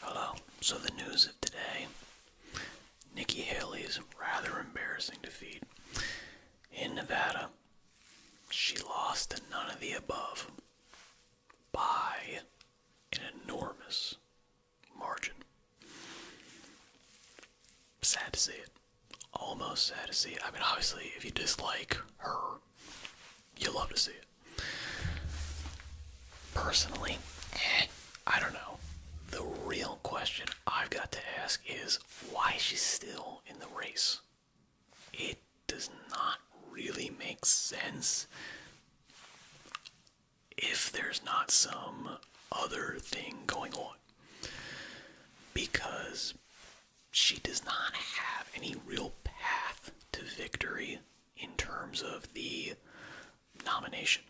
Hello. So the news of today: Nikki Haley's rather embarrassing defeat in Nevada. She lost to none of the above by an enormous margin. Sad to see it. Almost sad to see. It. I mean, obviously, if you dislike her, you love to see it. Personally, eh, I don't know. The real question I've got to ask is why she's still in the race. It does not really make sense if there's not some other thing going on. Because she does not have any real path to victory in terms of the nomination.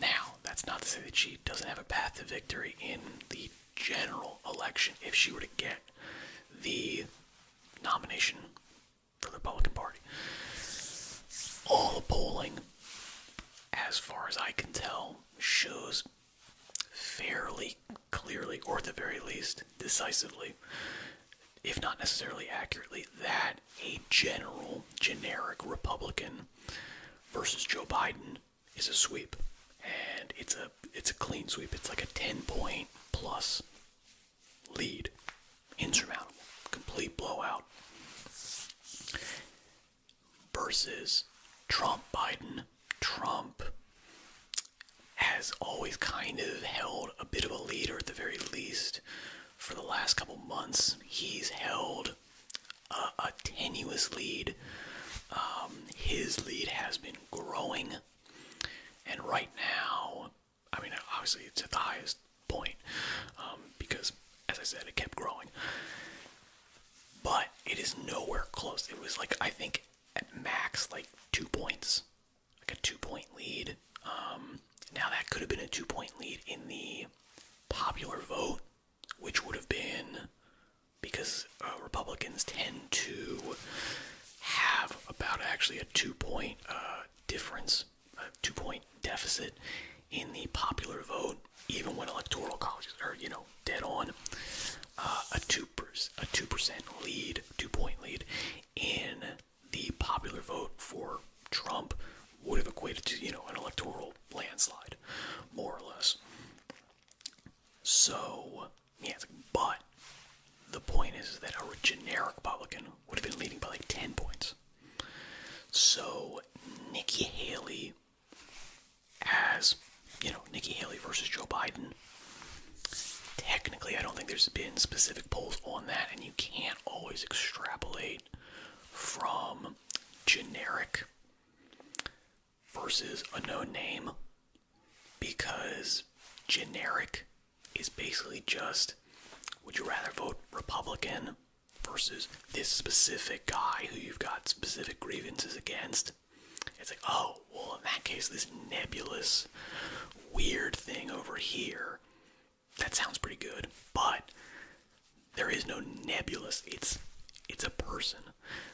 Now, that's not to say that she doesn't have a path to victory in the general election if she were to get the nomination for the Republican Party. All the polling, as far as I can tell, shows fairly clearly, or at the very least, decisively, if not necessarily accurately, that a general, generic Republican versus Joe Biden is a sweep, and it's a it's a clean sweep. It's like a ten point plus lead, insurmountable, complete blowout. Versus Trump Biden. Trump has always kind of held a bit of a lead, or at the very least, for the last couple months, he's held a, tenuous lead. Um, his lead has been growing, and right now, I mean, obviously, it's at the highest point um, because, as I said, it kept growing. But it is nowhere close. It was like, I think at max, like two points like a two point lead. Um, now, that could have been a two point lead in the popular vote, which would have been because uh, Republicans tend to have about actually a two point uh, difference, a two point deficit in the popular vote, even when electoral colleges are, you know, dead on. Uh, a two per a two percent lead, two point lead in the popular vote for Trump would have equated to, you know, an electoral landslide, more or less. So, yeah, but the point is that a generic Republican would have been leading by like 10 points. So, Nikki Haley as, you know, Nikki Haley versus Joe Biden. Technically, I don't think there's been specific Pulls on that, and you can't always extrapolate from generic versus a known name because generic is basically just would you rather vote Republican versus this specific guy who you've got specific grievances against? It's like, oh, well, in that case, this nebulous, weird thing over here that sounds pretty good, but there is no nebulous. It's it's a person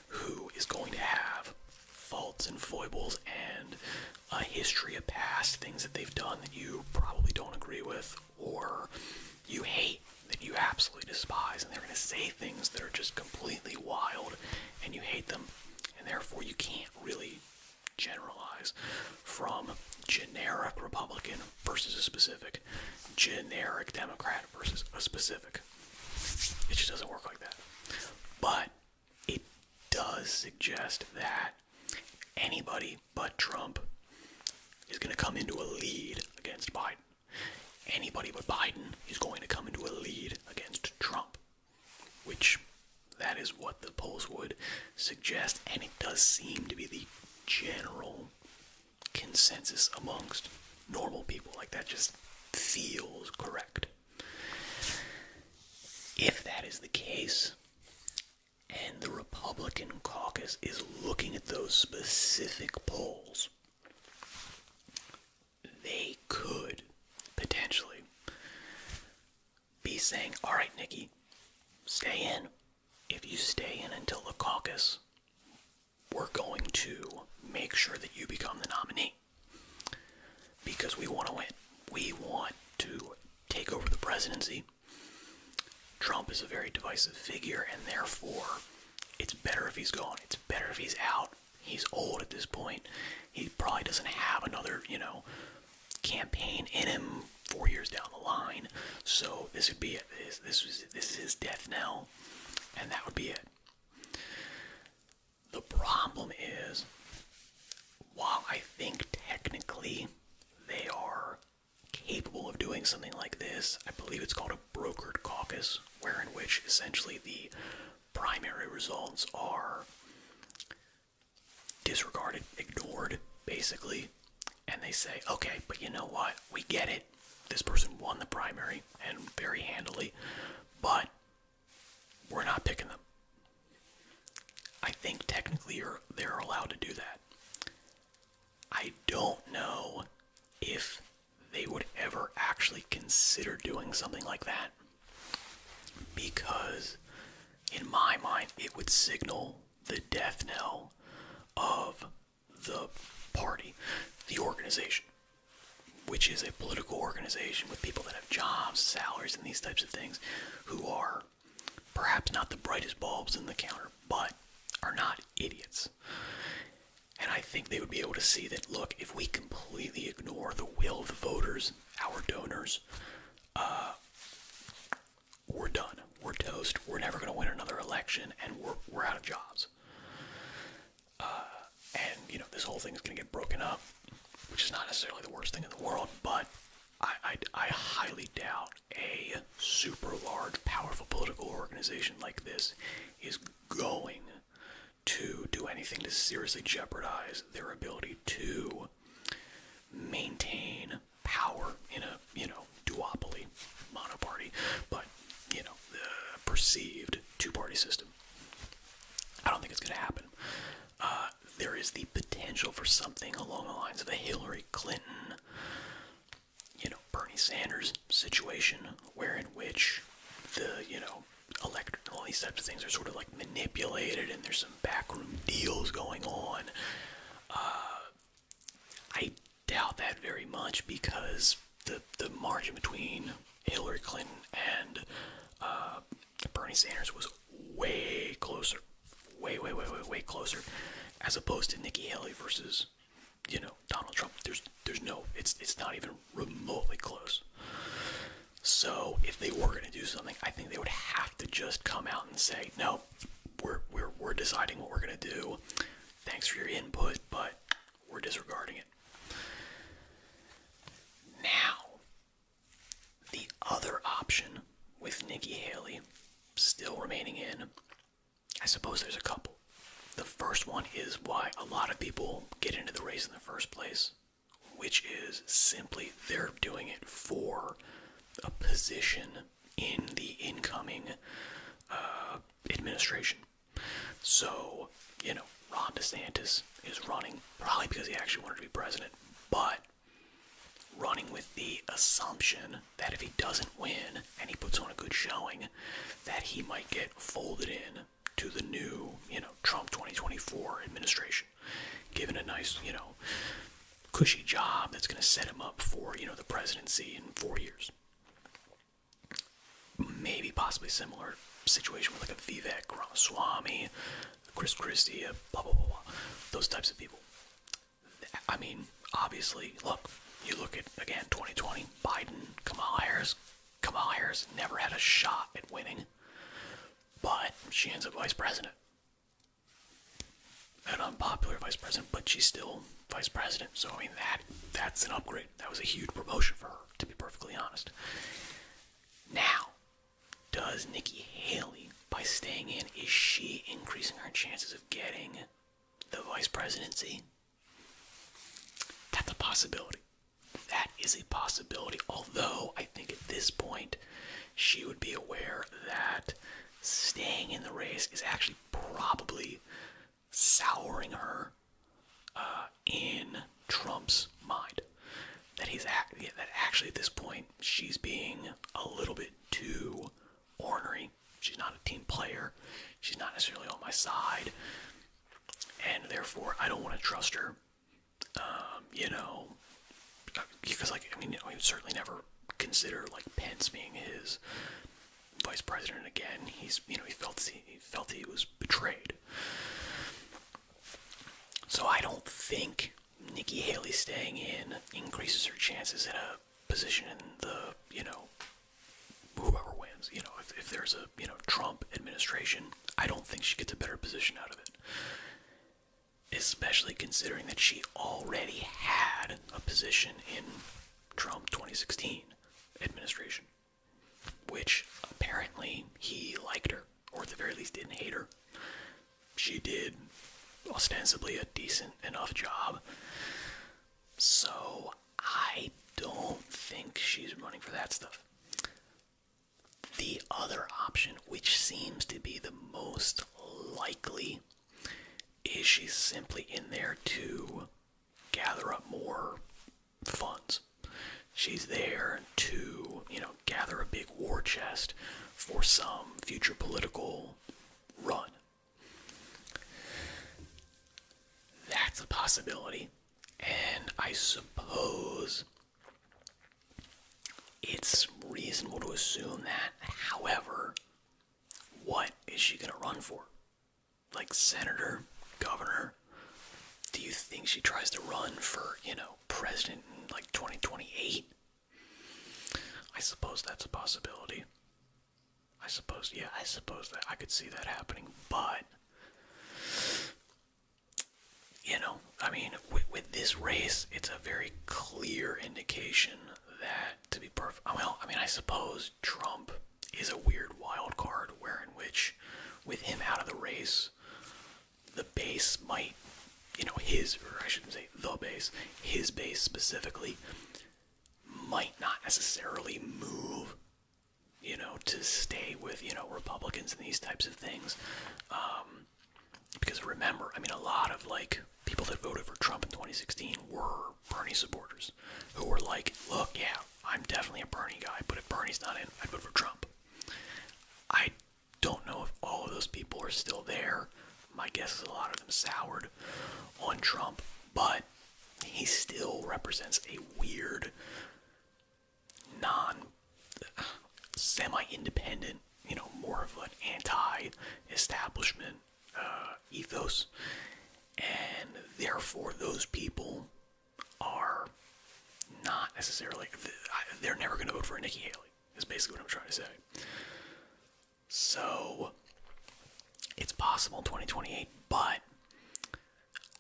who is going to have faults and foibles and a history of past things that they've done that you probably don't agree with or you hate that you absolutely despise and they're going to say things that are just completely wild and you hate them and therefore you can't really generalize from generic Republican versus a specific, generic Democrat versus a specific. It just doesn't work like that. But it does suggest that anybody but Trump is going to come into a lead against Biden. Anybody but Biden is going to come into a lead against Trump which that is what the polls would suggest, and it does seem to be the general consensus amongst normal people. Like, that just feels correct. If that is the case, and the Republican caucus is looking at those specific polls, they could potentially be saying, all right, Nikki, stay in. If you stay in until the caucus, we're going to make sure that you become the nominee because we want to win. We want to take over the presidency. Trump is a very divisive figure, and therefore, it's better if he's gone. It's better if he's out. He's old at this point he probably doesn't have another, you know, campaign in him four years down the line. So this would be it. This this this is his death knell, and that would be it. The problem is, while I think technically they are capable of doing something like this, I believe it's called a brokered caucus, wherein which essentially the primary results are disregarded, ignored, basically. And they say, okay, but you know what? We get it. This person won the primary and very handily, but we're not picking them. I think technically they're allowed to do that. I don't know if they would ever actually consider doing something like that because in my mind it would signal the death knell of the party, the organization, which is a political organization with people that have jobs, salaries, and these types of things who are perhaps not the brightest bulbs in the counter, but are not idiots. And I think they would be able to see that look, if we completely ignore the will of the voters, our donors, uh, we're done. We're toast. We're never going to win another election, and we're we're out of jobs. Uh, and you know this whole thing is going to get broken up, which is not necessarily the worst thing in the world, but I I highly doubt a super large, powerful political organization like this is going to do anything to seriously jeopardize their ability to maintain power in a you know duopoly monoparty but you know the perceived two-party system i don't think it's going to happen uh, there is the potential for something along the lines of a hillary clinton you know bernie sanders situation where in which the you know electric all these types of things are sort of like manipulated and there's backroom deals going on. Uh, I doubt that very much because the the margin between Hillary Clinton and uh, Bernie Sanders was way closer, way way way way way closer, as opposed to Nikki Haley versus you know Donald Trump. There's there's no it's it's not even remotely close. So if they were going to do something, I think they would have to just come out and say, "No, we're we're we're deciding what we're going to do. Thanks for your input, but we're disregarding it." Now, the other option with Nikki Haley still remaining in, I suppose there's a couple. The first one is why a lot of people get into the race in the first place which is simply they're doing it for a position in the incoming uh, administration. So, you know, Ron DeSantis is running probably because he actually wanted to be president, but running with the assumption that if he doesn't win and he puts on a good showing, that he might get folded in to the new, you know, Trump 2024 administration given a nice, you know, cushy job that's going to set him up for, you know, the presidency in four years. Maybe possibly similar situation with like a Vivek Ramaswamy, Chris Christie, blah, blah, blah, Those types of people. I mean, obviously, look, you look at, again, 2020, Biden, Kamala Harris. Kamala Harris never had a shot at winning but she ends up vice president. An unpopular vice president, but she's still vice president. So I mean that that's an upgrade. That was a huge promotion for her, to be perfectly honest. Now, does Nikki Haley, by staying in, is she increasing her chances of getting the vice presidency? That's a possibility. That is a possibility, although I I think at this point she would be aware that staying in the race is actually probably souring her uh, in Trump's mind. That he's that actually at this point she's being a little bit too ornery. She's not a team player. She's not necessarily on my side, and therefore I don't want to trust her um, you know, because like I mean, you know, he would certainly never consider like Pence being his vice president again. He's you know he felt he, felt he was betrayed. So I don't think Nikki Haley staying in increases her chances in a position in the you know whoever wins. You know if if there's a you know Trump administration, I don't think she gets a better position out of it especially considering that she already had a position in Trump 2016 administration, which apparently he liked her, or at the very least didn't hate her. She did ostensibly a decent enough job. So I don't think she's running for that stuff. The other option, which seems to be the most likely, is she's simply in there to gather up more funds. She's there to, you know, gather a big war chest for some future political run. That's a possibility. And I suppose it's reasonable to assume that. However, what is she going to run for? Like senator, governor? Do you think she tries to run for, you know, president in like 2028? I suppose that's a possibility. I suppose, yeah, I suppose that I could see that happening, but you know, I mean, with, this race, it's a very clear indication that, to be perfect, well, I mean, I suppose Trump is a weird wild card, wherein which, with him out of the race, the base might, you know, his, or I shouldn't say the base, his base specifically, might not necessarily move, you know, to stay with, you know, Republicans and these types of things. Um, um, because remember, I mean, a lot of like people that voted for Trump in 2016 were Bernie supporters who were like, look, yeah, I'm definitely a Bernie guy, but if Bernie's not in, I'd vote for Trump. I don't know if all of those people are still there. My guess is a lot of them soured on Trump, but he still represents a weird non semi independent, you know, more of an anti establishment uh, ethos. And therefore, those people are not necessarily, they're never going to vote for Nikki Haley, is basically what I'm trying to say. So, it's possible in 2028, but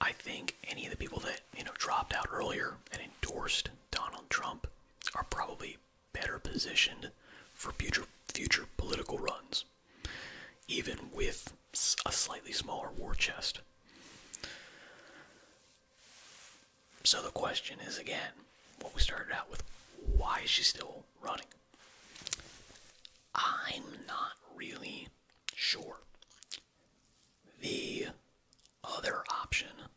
I think any of the people that, you know, dropped out earlier and endorsed Donald Trump are probably better positioned for future future political runs, even with a slightly smaller war chest. So the question is again, what we started out with, why is she still running? I'm not really sure. The other option,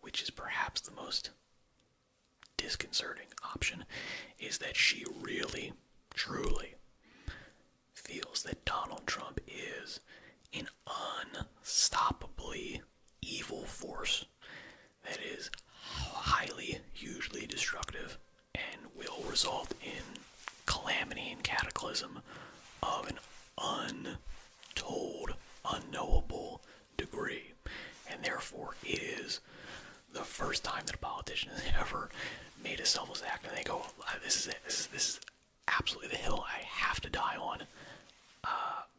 which is perhaps the most disconcerting option, is that she really, truly feels that Donald Trump is an unstoppably evil force that is highly, hugely destructive and will result in calamity and cataclysm of an untold, unknowable degree. And therefore, it is the first time that a politician has ever made a selfless act and they go, uh, This is it. This is, this absolutely the hill I have to die on. Uh,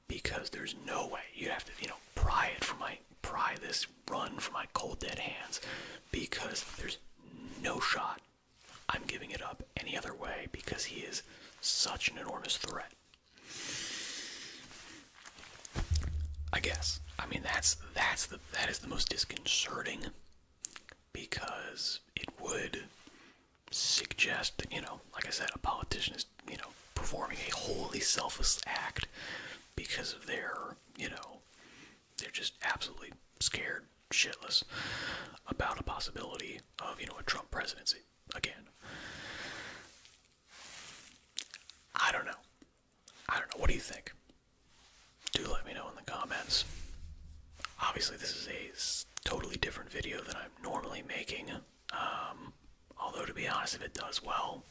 because there's no way you have to, you know, pry it from my pry this run from my cold dead hands because there's no shot I'm giving it up any other way because he is such an enormous threat. I guess. I mean that's that's the that is the most disconcerting because it would suggest that, you know, like I said, a politician is, you know, performing a wholly selfless act because of their, you know, they're just absolutely scared shitless about a possibility of, you know, a Trump presidency again. I don't know. I don't know. What do you think? Do let me know in the comments. Obviously, this is a totally different video that I'm normally making. Um, although, to be honest, if it does well,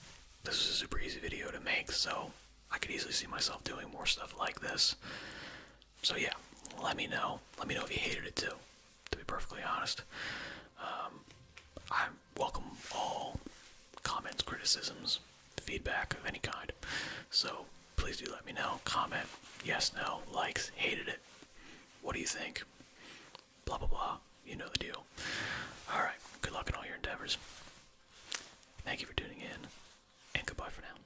this is a super easy video to make, so I could easily see myself doing more stuff like this. So yeah, let me know. Let me know if you hated it too. To be perfectly honest, um, I welcome all comments, criticisms, feedback of any kind. So please do let me know. Comment, yes, no, likes, hated it. What do you think? Blah blah blah. You know the deal. All right. Good luck in all your endeavors. Thank you for tuning in, and goodbye for now.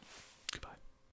Goodbye.